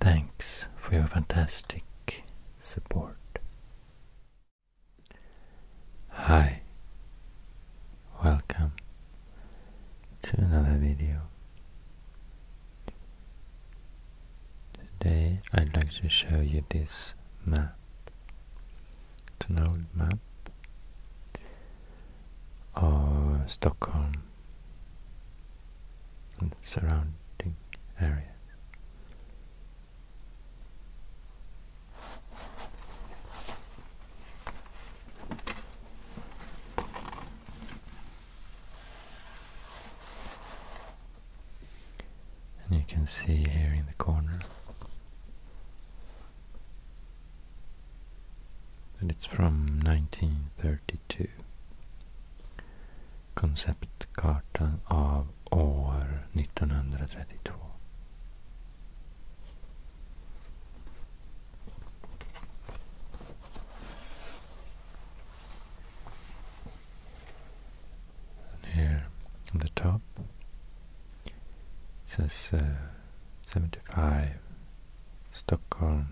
Thanks for your fantastic support. Hi, welcome to another video. Today I'd like to show you this map. It's an old map of Stockholm and surrounding area, And you can see here in the corner that it's from 1930. 1992 Konceptkartan av år 1932 Here on the top it says uh, 75 Stockholm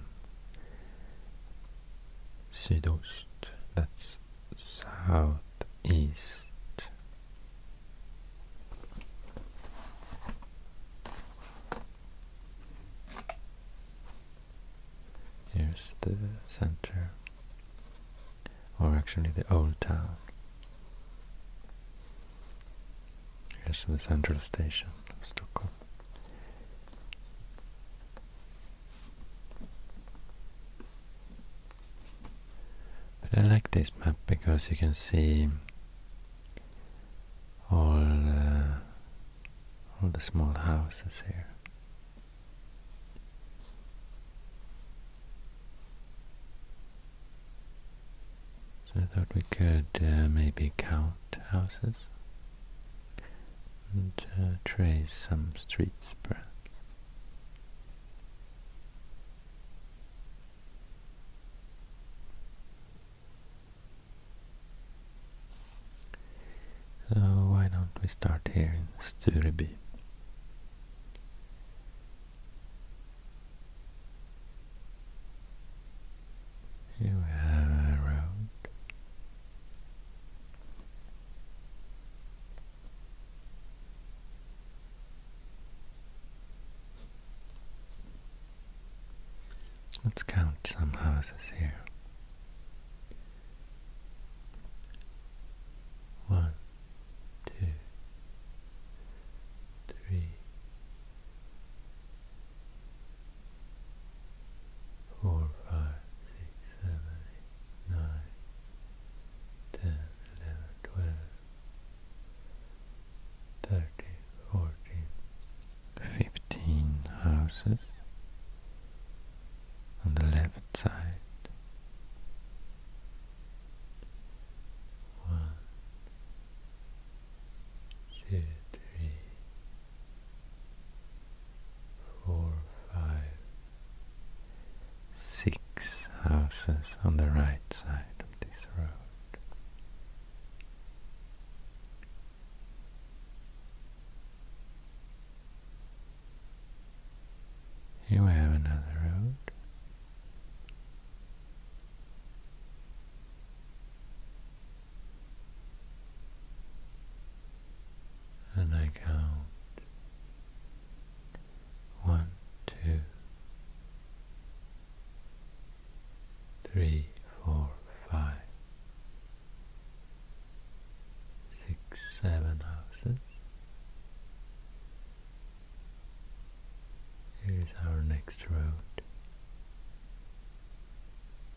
Südost, that's south east. Here's the center, or actually the old town. Here's the central station of Stockholm. But I like this map because you can see all uh, all the small houses here. So I thought we could uh, maybe count houses and uh, trace some streets perhaps. So why don't we start here in Stureby? You have a road. Let's count some houses here. One, two, three, four, five, six, seven, eight, nine, ten, eleven, twelve, thirteen, fourteen, fifteen houses on the left side. One, two, three, four, five, six houses on the right side of this road. Here have another road and I count one, two, three, four, five, six, seven houses. Here is our next road.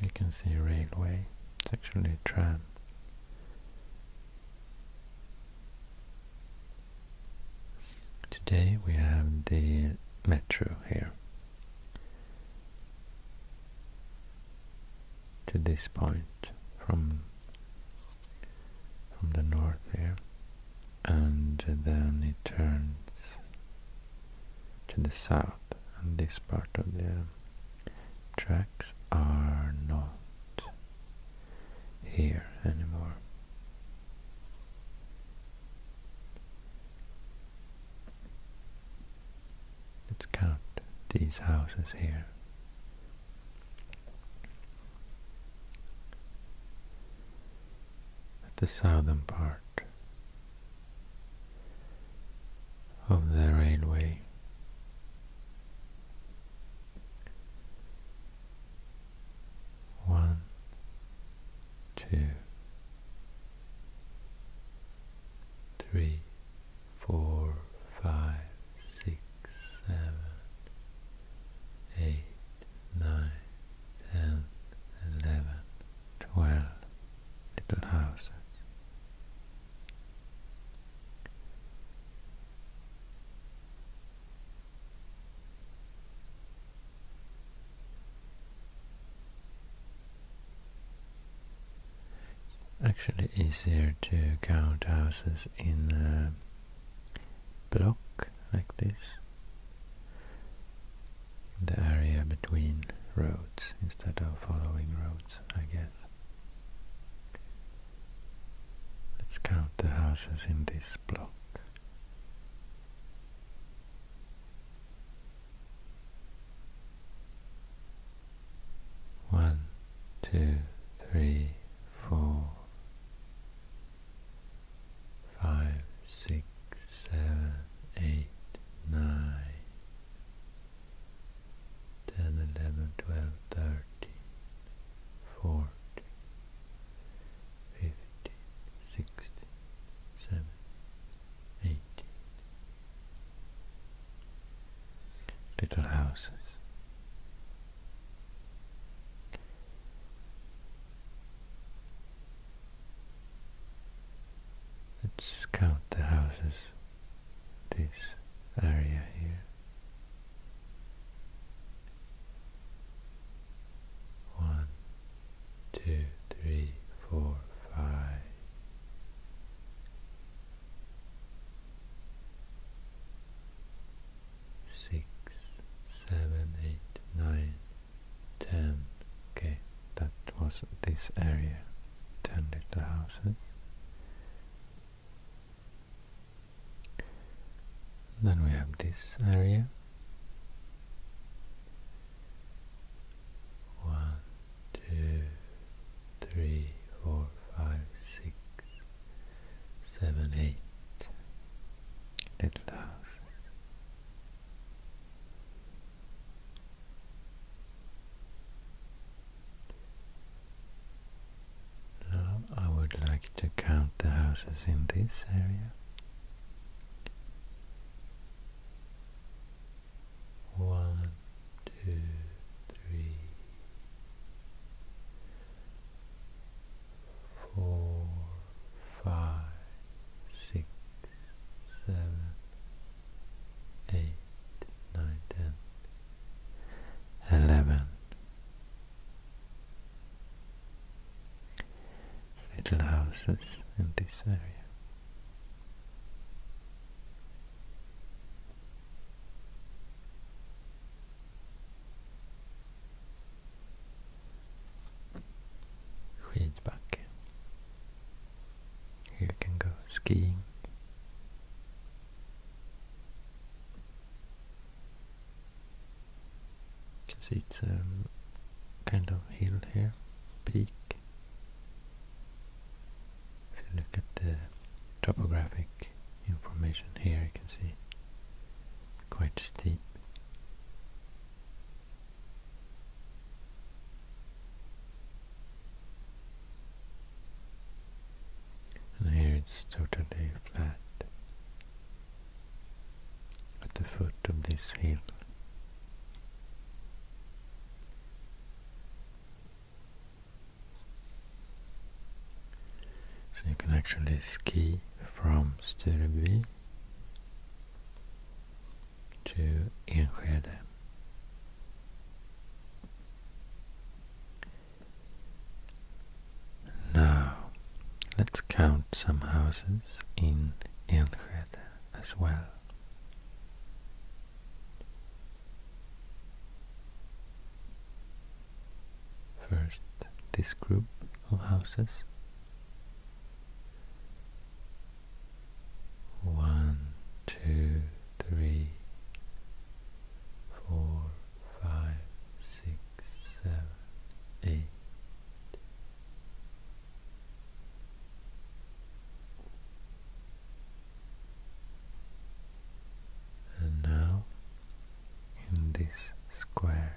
You can see railway, it's actually a tram. Today we have the metro here. To this point from from the north here and then it turns to the south and this part of the tracks are not here anymore. Let's count these houses here at the southern part of the railway. One, two, three, four, five, six, seven, eight nine, ten, eleven, twelve little houses. actually easier to count houses in uh, block like this the area between roads instead of following roads, I guess. Let's count the houses in this block. One, two, three, four, five, six, seven, eight, nine, ten, eleven, twelve, thirteen, fourteen, fifteen, sixteen, seventeen, eighteen. Little houses. Let's count the houses, this area here. One, two, three, four, five six, seven, eight, nine, ten. Okay, that was this area. Ten little houses. Then we have this area. One, two, three, four, five, six, seven, eight little houses. I would like to count the houses in this area. One, two, three, four, five, six, seven, eight, nine, ten, eleven. Little houses in this area. Skidbacke. Here you can go skiing. You can see it's um, kind of hill here, peak. If you look at the topographic information here, you can see quite steep. And here it's totally flat at the foot of this hill. So you can actually ski from Stureby till Enskede. Now, let's count some houses in Enskede as well. First, this group of houses one, two, three, four, five, six, seven, eight. And now, in this square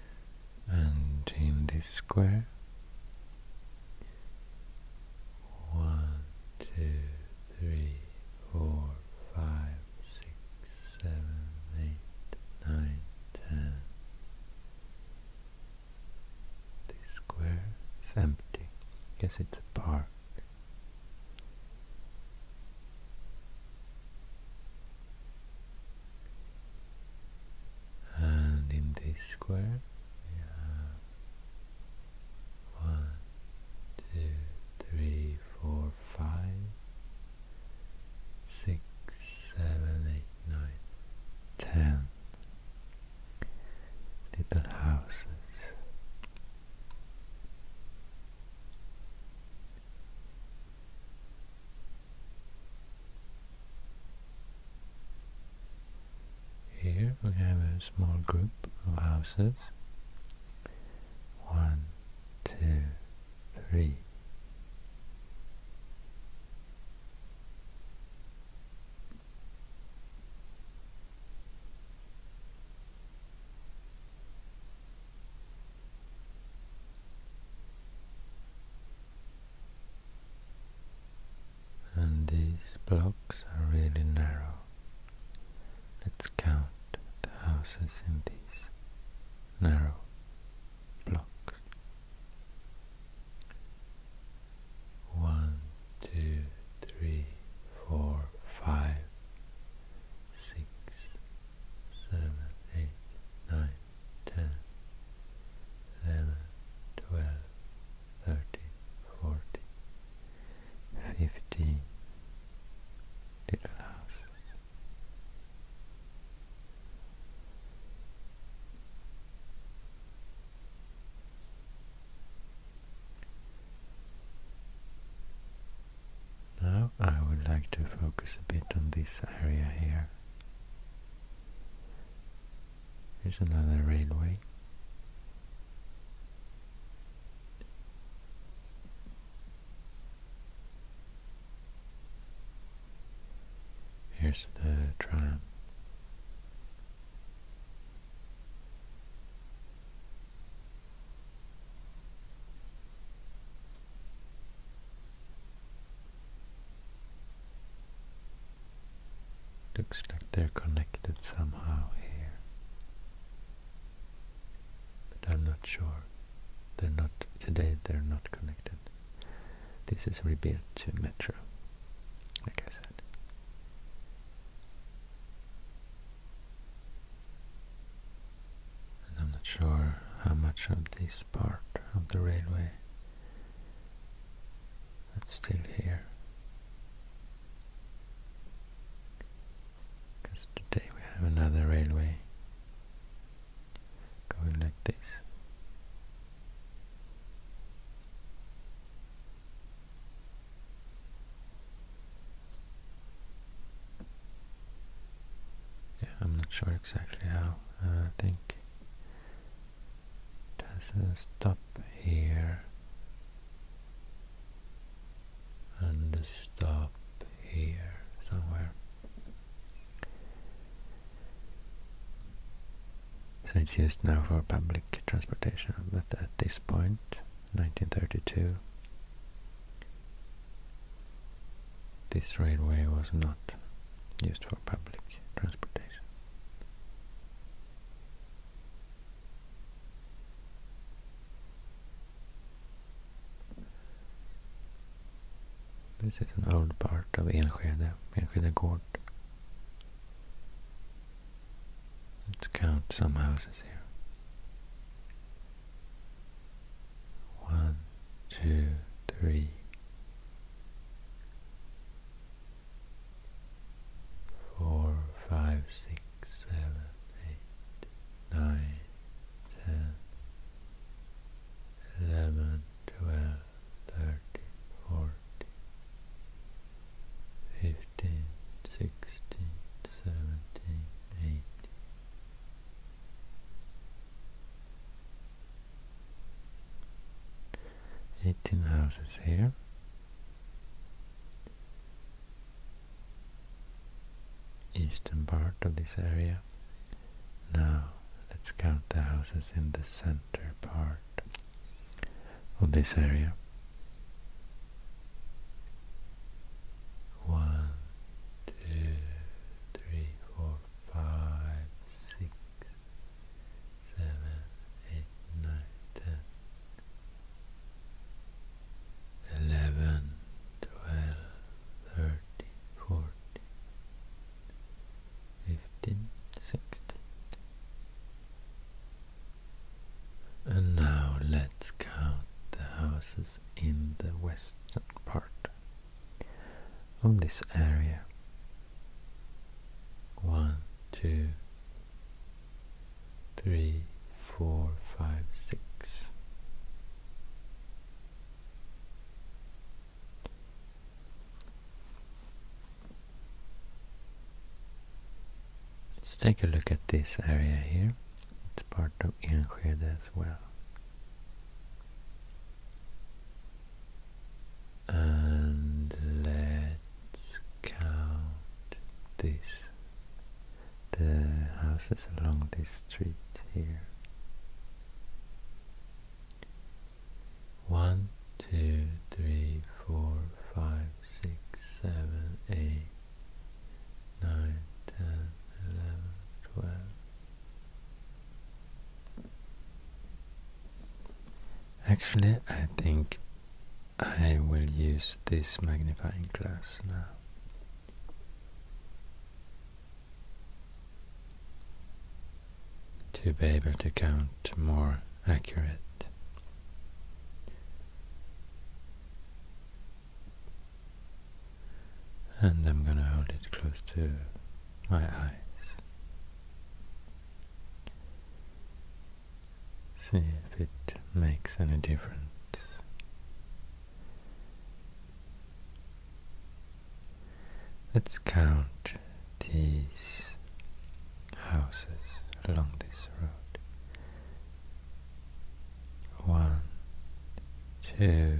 and in this square one, two, three, four, five, six, seven, eight, nine, ten. This square is empty. I Guess it's a park. And in this square we have one, two, three, four, five, six, seven, eight, nine, ten little houses. Here we have a small group of houses. One, two, three and these blocks are really narrow. Let's count the houses in these narrow blocks. One, two, three, four, five, six, seven, eight, nine, 10, 11, 12, 30, 40, 50 little houses. Now I would like to focus a bit on this area here. Here's another railway. Here's the triumph. Looks like they're connected somehow here. But I'm not sure. They're not, today they're not connected. This is rebuilt to Metro, like I said. And I'm not sure how much of this part of the railway that's still here. Because today we have another railway going like this. Yeah, I'm not sure exactly how I think doesn't stop here and stop here somewhere. So it's used now for public transportation, but at this point, 1932, this railway was not used for public transportation. This is an old part of Enskede, Enskede Gård. Let's count some houses here. One, two, three, four, five, six, seven, eight, nine, ten, eleven, twelve, thirteen, fourteen, fifteen, sixteen, seventeen, eighteen. 18 houses here eastern part of this area now let's count the houses in the center part of this area one, two, three, four, five, six, seven, eight, nine, ten. 11, 12, 13, 14, 15, 16. And now let's count the houses in the western part of this area. One, two, three, four, five, six. Let's take a look at this area here. It's part of Enskede as well and let's count this the houses along this street here one two three four five six seven eight nine ten eleven twelve Actually, I think I will use this magnifying glass now. To be able to count more accurate and I'm going to hold it close to my eyes. See if it makes any difference. Let's count these houses along this road. One, two,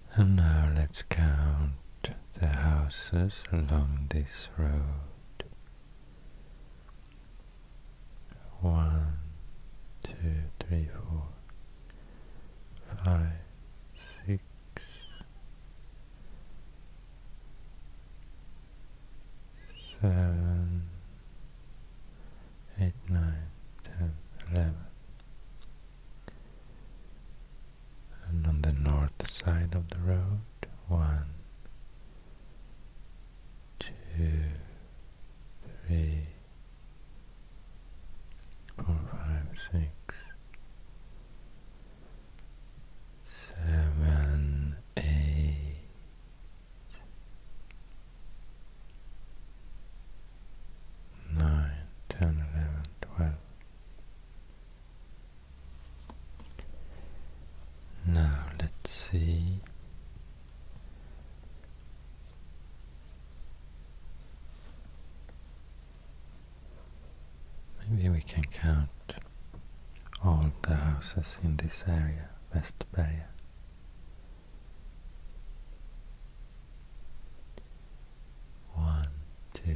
And now let's count the houses along this road. One, two, three, four, five, six, seven, eight, nine, ten, eleven and on the north side of the road one, two, three, four, five, six, seven, eight, nine, ten, eleven, twelve. Now let's see. Maybe we can count all the houses in this area, Westberga. One, two,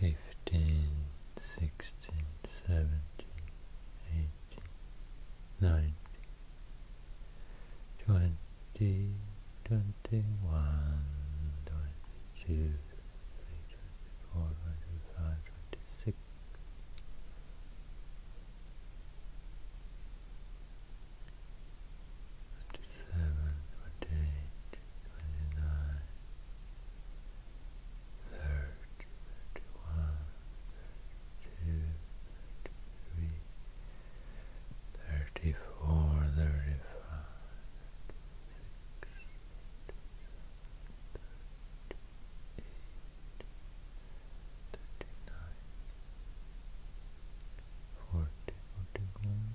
fifteen, sixteen, seventeen, eighteen, nineteen, twenty, twenty-one, twenty-two, twenty-four, twenty-five, twenty-six. Twenty-seven, twenty-eight, twenty-nine, thirty, thirty-one, thirty-two, thirty-three, thirty-four, thirty-five, thirty-six, thirty-eight, thirty-nine, forty, forty-one,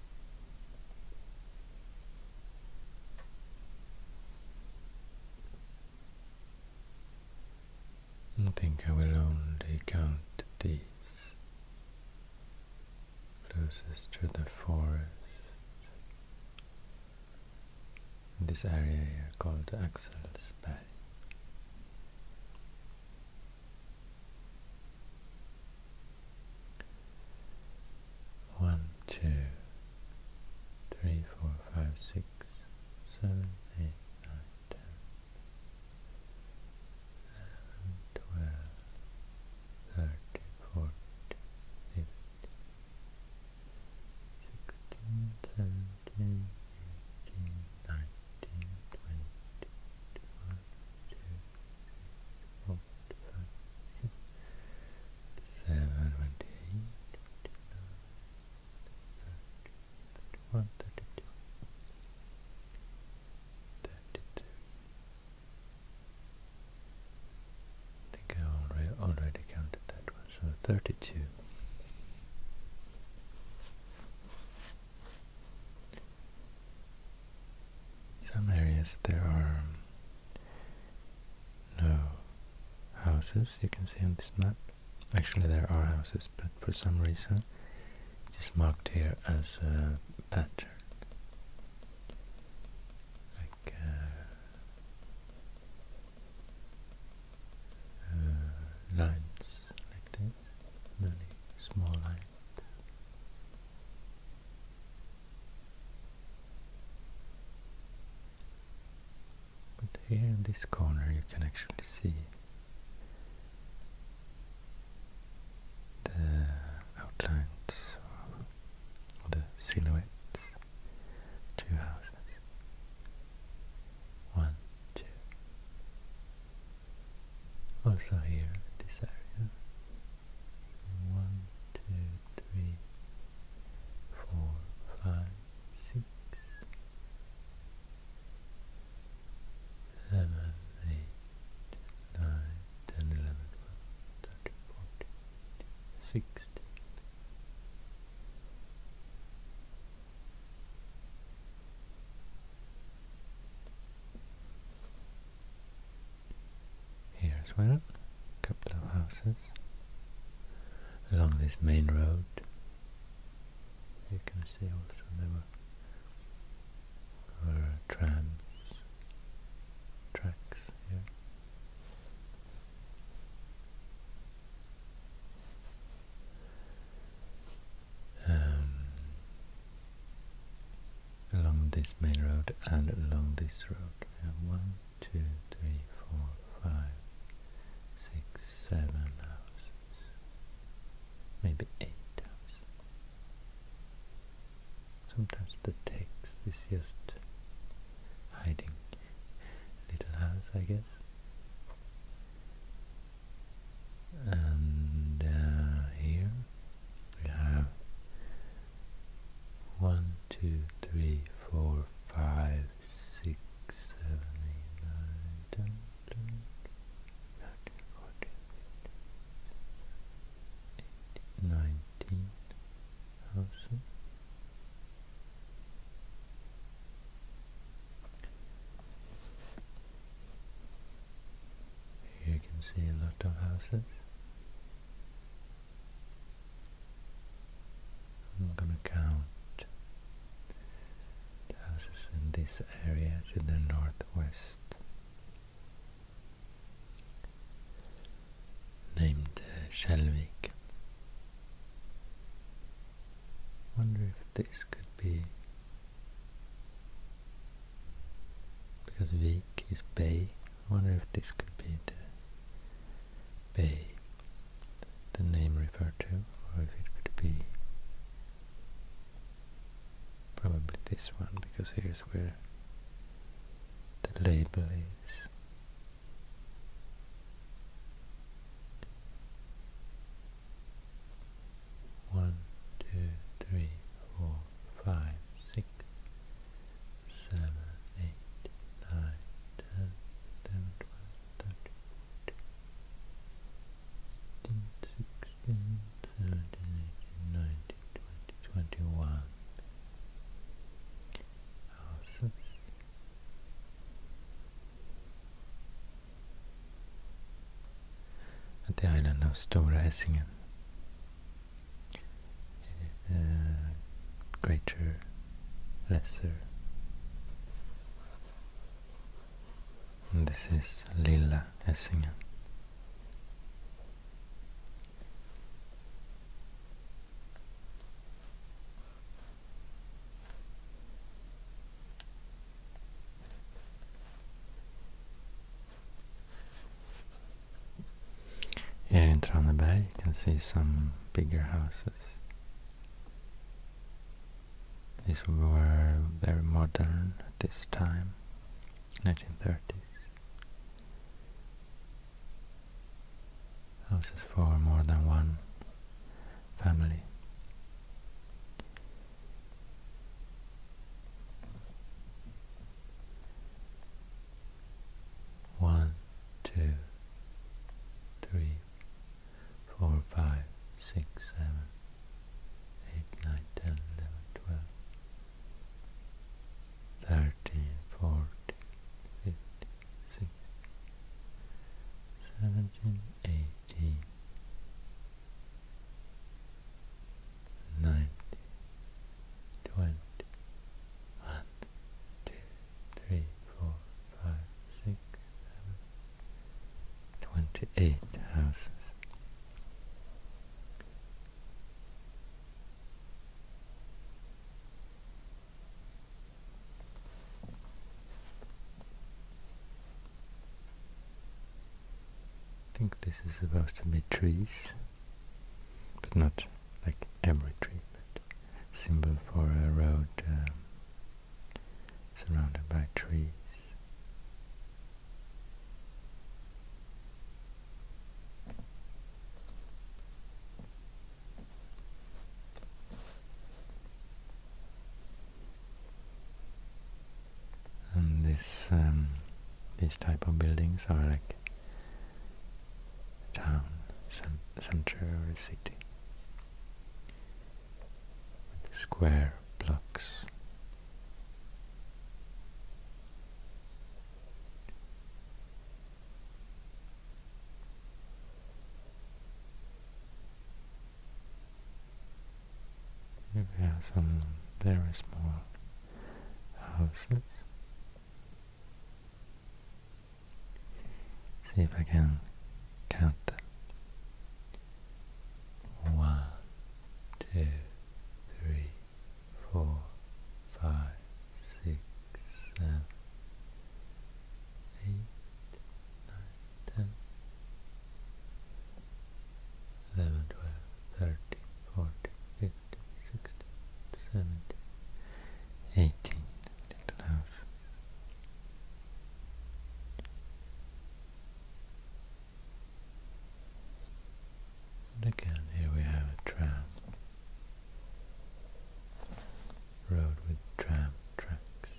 I think I will only count these closest to the forest. This area here called Axel's Bay. One, two, three, four, five, six, seven, eight, nine, ten, eleven, twelve, thirteen, fourteen, fifteen, sixteen, seventeen, eighteen, nineteen, twenty, twenty-one, twenty-two, four, five, six, seven, twenty-eight, thirty-one, thirty-two, thirty-three. I think I already already counted that one, so thirty-two. Some areas there are no houses, you can see on this map. Actually there are houses, but for some reason it is marked here as a pattern. Like uh, uh, lines like this, many small lines. But here in this corner you can actually see the outlines or the silhouettes two houses one, two, also here at this area. So one, two, three, four, five, six, seven, eight, nine, ten, eleven, twelve, thirteen, fourteen, sixteen. Here as well, a couple of houses along this main road. You can see also there were, were tracks here. Um, along this main road and along this road. We have one, two, three, four, five, six, seven houses, maybe eight houses. Sometimes the text is just hiding little house, I guess and uh, here we have one, two, three, four, five, six, seven, eight, nine, ten, ten, thirteen, fourteen, fifteen, nineteen thousand you can see a lot of houses. I'm gonna count houses in this area to the northwest. Named uh, Wonder if this could be because Vik is bay. I wonder if this could be the bay the name referred to, or if it could be probably this one, because here's where the label is one, two, three, four, five, six, seven, eight, nine, ten, eleven, twelve, thirteen, fourteen, sixteen, seventeen, eighteen, nineteen, twenty, twenty-one houses at the island of Stora Essingen. greater, lesser. this is Lilla Essingen. Here in Traneberg you can see some bigger houses. These were very modern at this time, 1930s. Houses for more than one family. One, two, three, four, five, six, seven, eight, nine, ten, eleven, twelve, thirteen, fourteen, fifteen, sixteen, seventeen, eighty, ninety, twenty, one, two, three, four, five, six, seven, twenty-eight houses. I think this is supposed to be trees, but not like every tree, but symbol for a road um, surrounded by trees. And this um, type of buildings are like town, center of a city. With square blocks. There are some very small houses. See if I can count them. One, two, three, four, five, six, seven, eight, nine. 10, 11, 12, 13, 14, 15, 16, 17, 18 little house. And again, here we have a tram. Road with tram tracks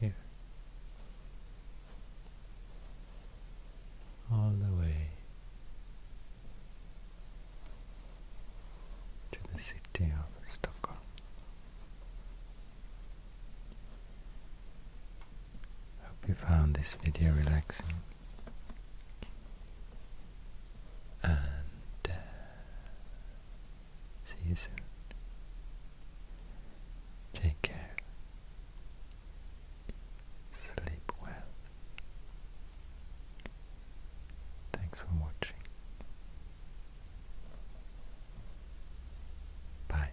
here. All the way to the city of Stockholm. Hope you found this video relaxing. And uh, see you soon. Take care. Sleep well. Thanks for watching. Bye.